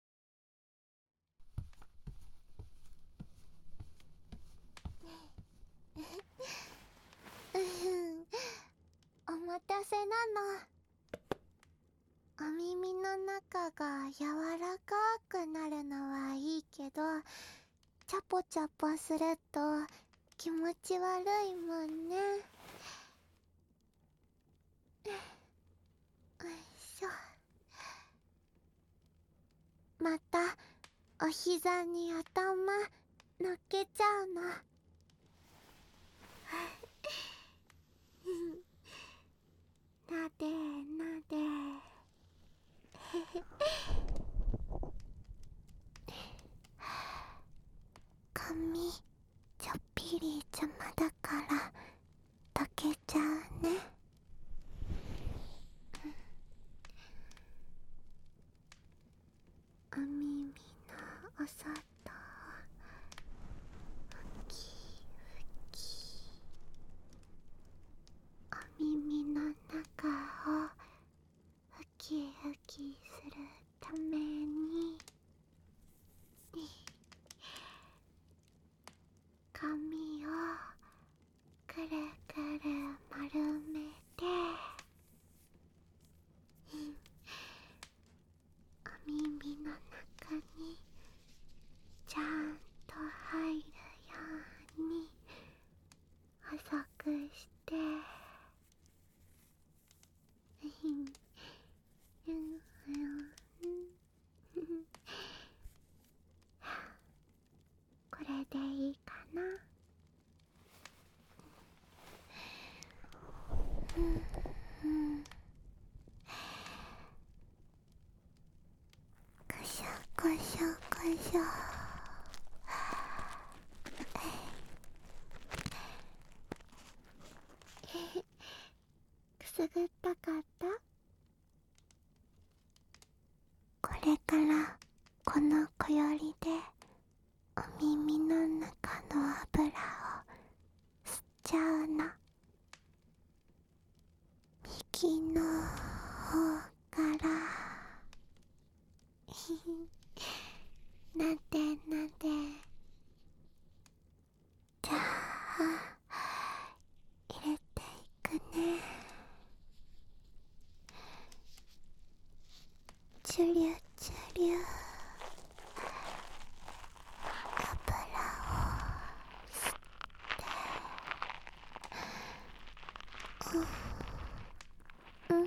お待たせなの。お耳の中が柔らかくなるのはいいけど、ちゃぽちゃぽすると気持ち悪いもんね。ういしょまたお膝に頭のけちゃうのなでなで髪ちょっぴり邪魔だから溶けちゃうねお耳のお外ふきふきお耳の中をふきふきするために髪をくるくる丸めてお耳の中にちゃんと入るように細くしてふ、んふんこれでいいかなくしょくしょくしょえくすぐったかったこれからこのこよりでお耳の中の油を吸っちゃうの右の方からなでなでじゃあ、入れていくねチュリュチュリュ油を吸ってうんうん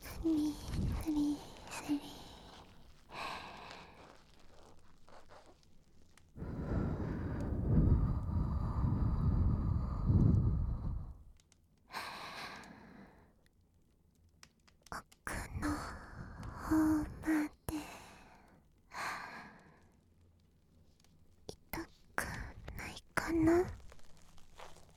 スリスリスリ奥のほうまで痛くないかな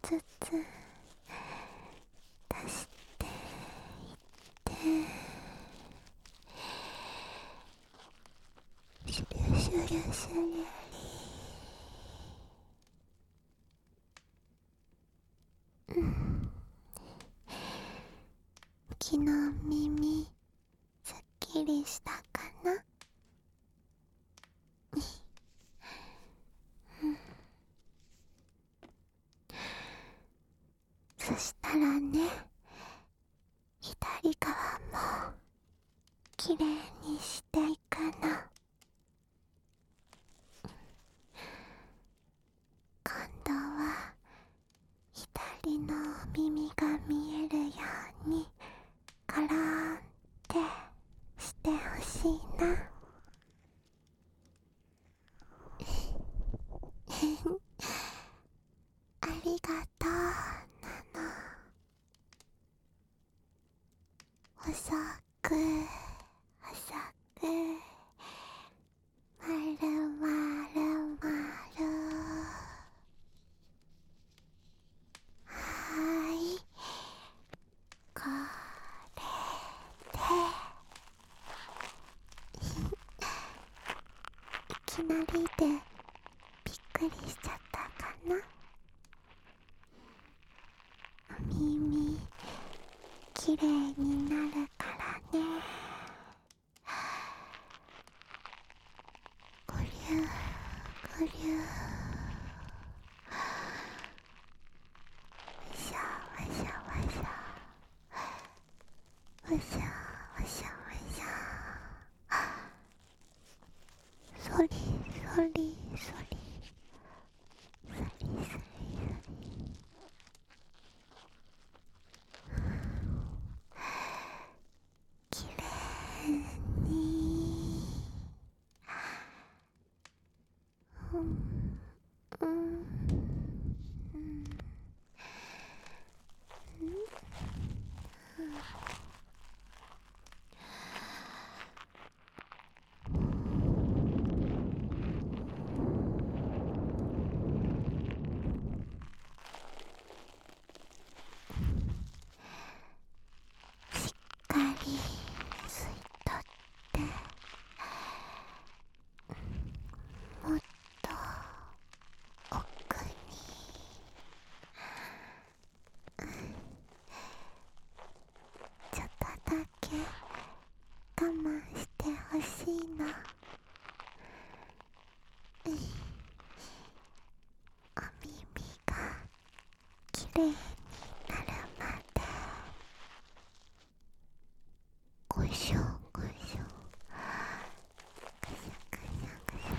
ちょっとずつちょっとずつ出していってシュリュシュリュシュ昨日耳すっきりしたかなそしたらね左側もきれいにしていくの。今度は左のお耳が見えるようにカラーンってしてほしいなありがとうなのおそくおそくまるまるまるはいこれでいきなりでびっくりしちゃったかなお耳きれいになるからねごりゅうごりゅうわしゃむしゃむしゃわしゃわしゃわしゃそりそりそりそりそりそりきれいにふんうんふんうんしっかり吸い取ってもっと奥に。ちょっとだけ我慢してほしいなお耳がきれいになるまでごしょごしょぐしゃぐしゃぐしゃ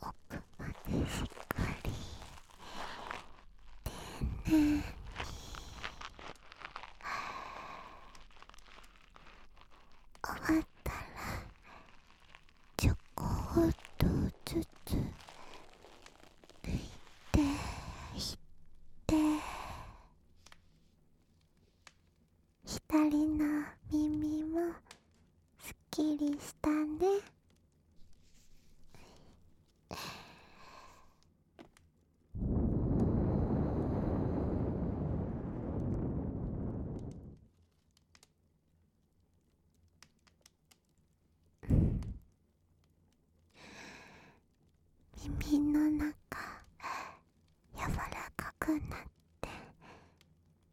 奥までしっかり丁寧に終わったらちょこっとずつ拭いていって左の耳もすっきりしたねん…耳の中柔らかくなって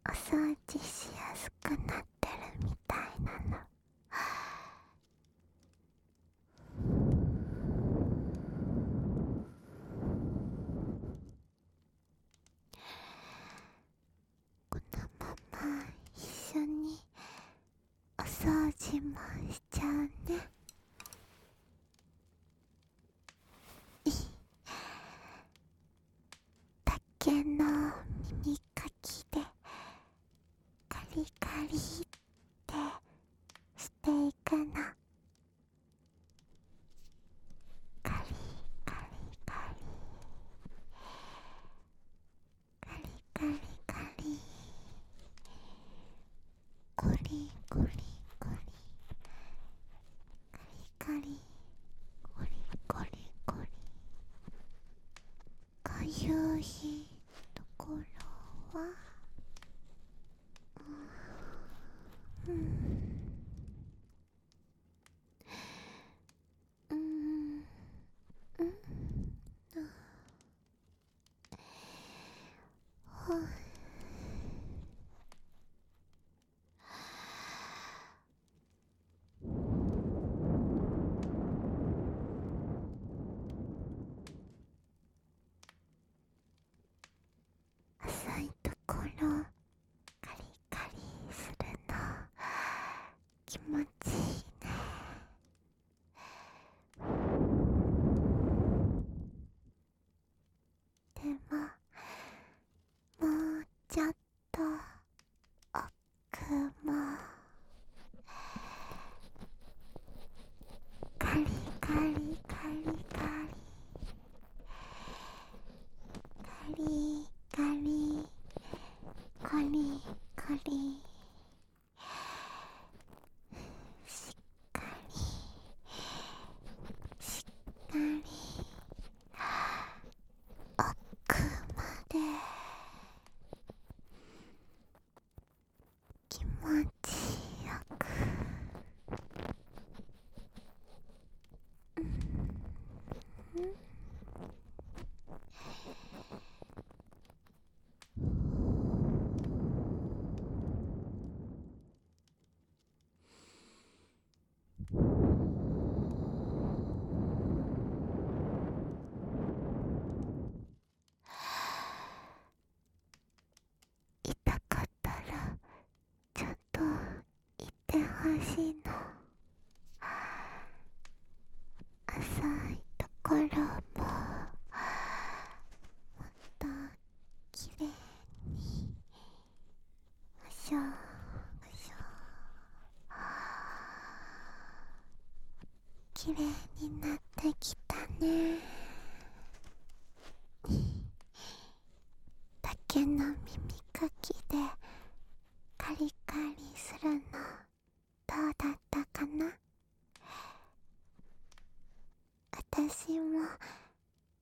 お掃除しやすくなってるみたいなの。このまま一緒にお掃除もしちゃうね竹の耳かきでカリカリってしていくのカリカリカリカリカリカリコリコリコリカリカリコリコリコリかゆいところはうん、ううんうんほい浅いところカリカリするの気持ちいいねでももうちょっと奥もカリカリカリカリカリリカリカリしっかりしっかり奥まで気持ちよく。痛かったらちゃんと言ってほしいの浅いところももっときれいにむしょむしょきれいになってきたね竹の耳かきでカリカリするのどうだったかなたしも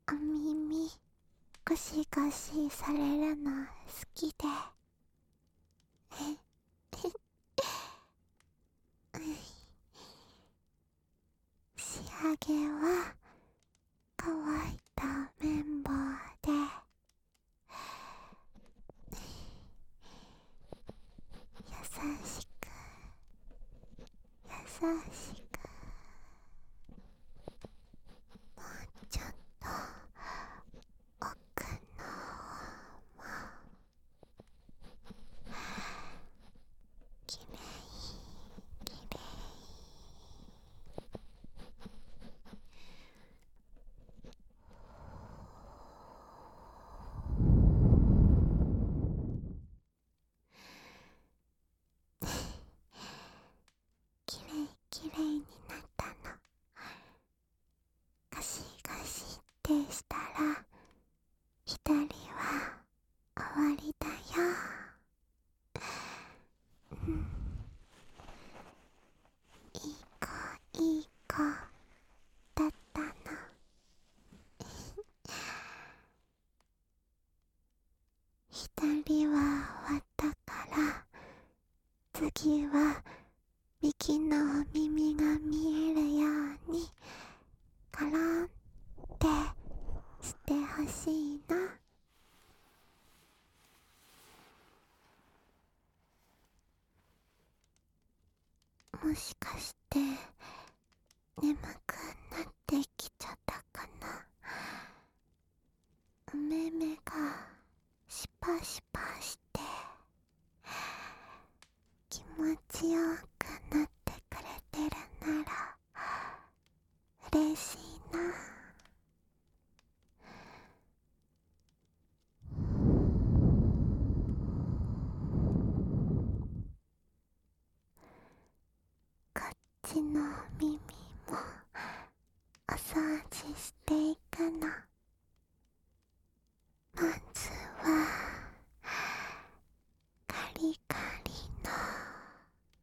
お耳ゴシゴシされるの好きでえ 仕上げは乾いた綿棒で優しく優しくもうちょっと奥の方もきれいきれいきれいきれいになったのガしガしってしたら左は終わりだよん、いい子いい子だったの。な左は終わったから次はビキのお耳が見えるようにカランってしてほしいな。もしかして眠くなってきちゃったかなおめめがシパシパして気持ちよくなってくれてるなら嬉しいなこっちの耳もお掃除していくのまずはカリカリの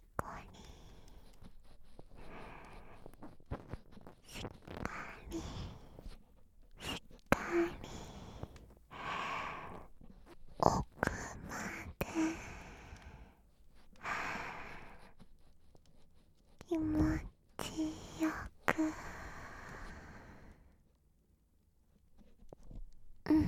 こっかりしっかり奥まで気持ちよくうん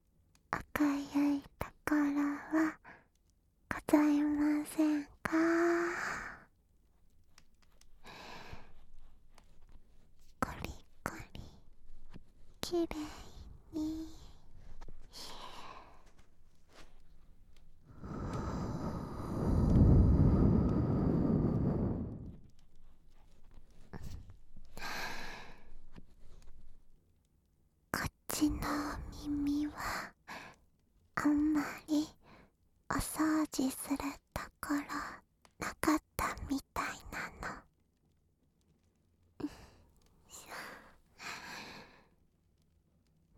赤いところはございませんかコリコリきれいにこっちの耳はあんまりお掃除するところなかったみたいなの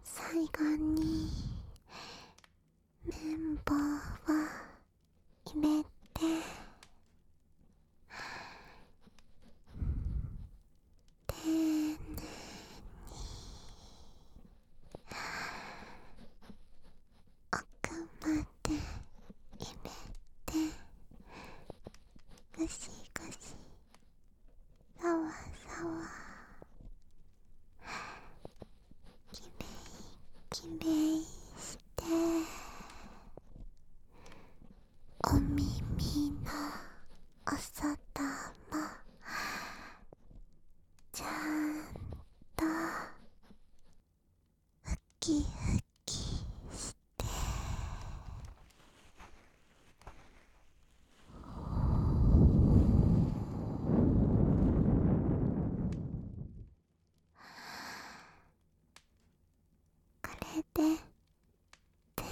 最後に綿棒を入れて。丁寧に奥まで入れてぐしぐしさわさわきめ、いきれいしてお耳のお外もちゃんとふきふきしてこれでぜ全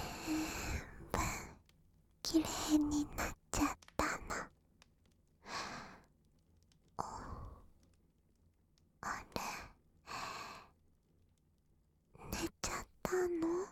部きれいになっちゃったの。おあれ寝ちゃったの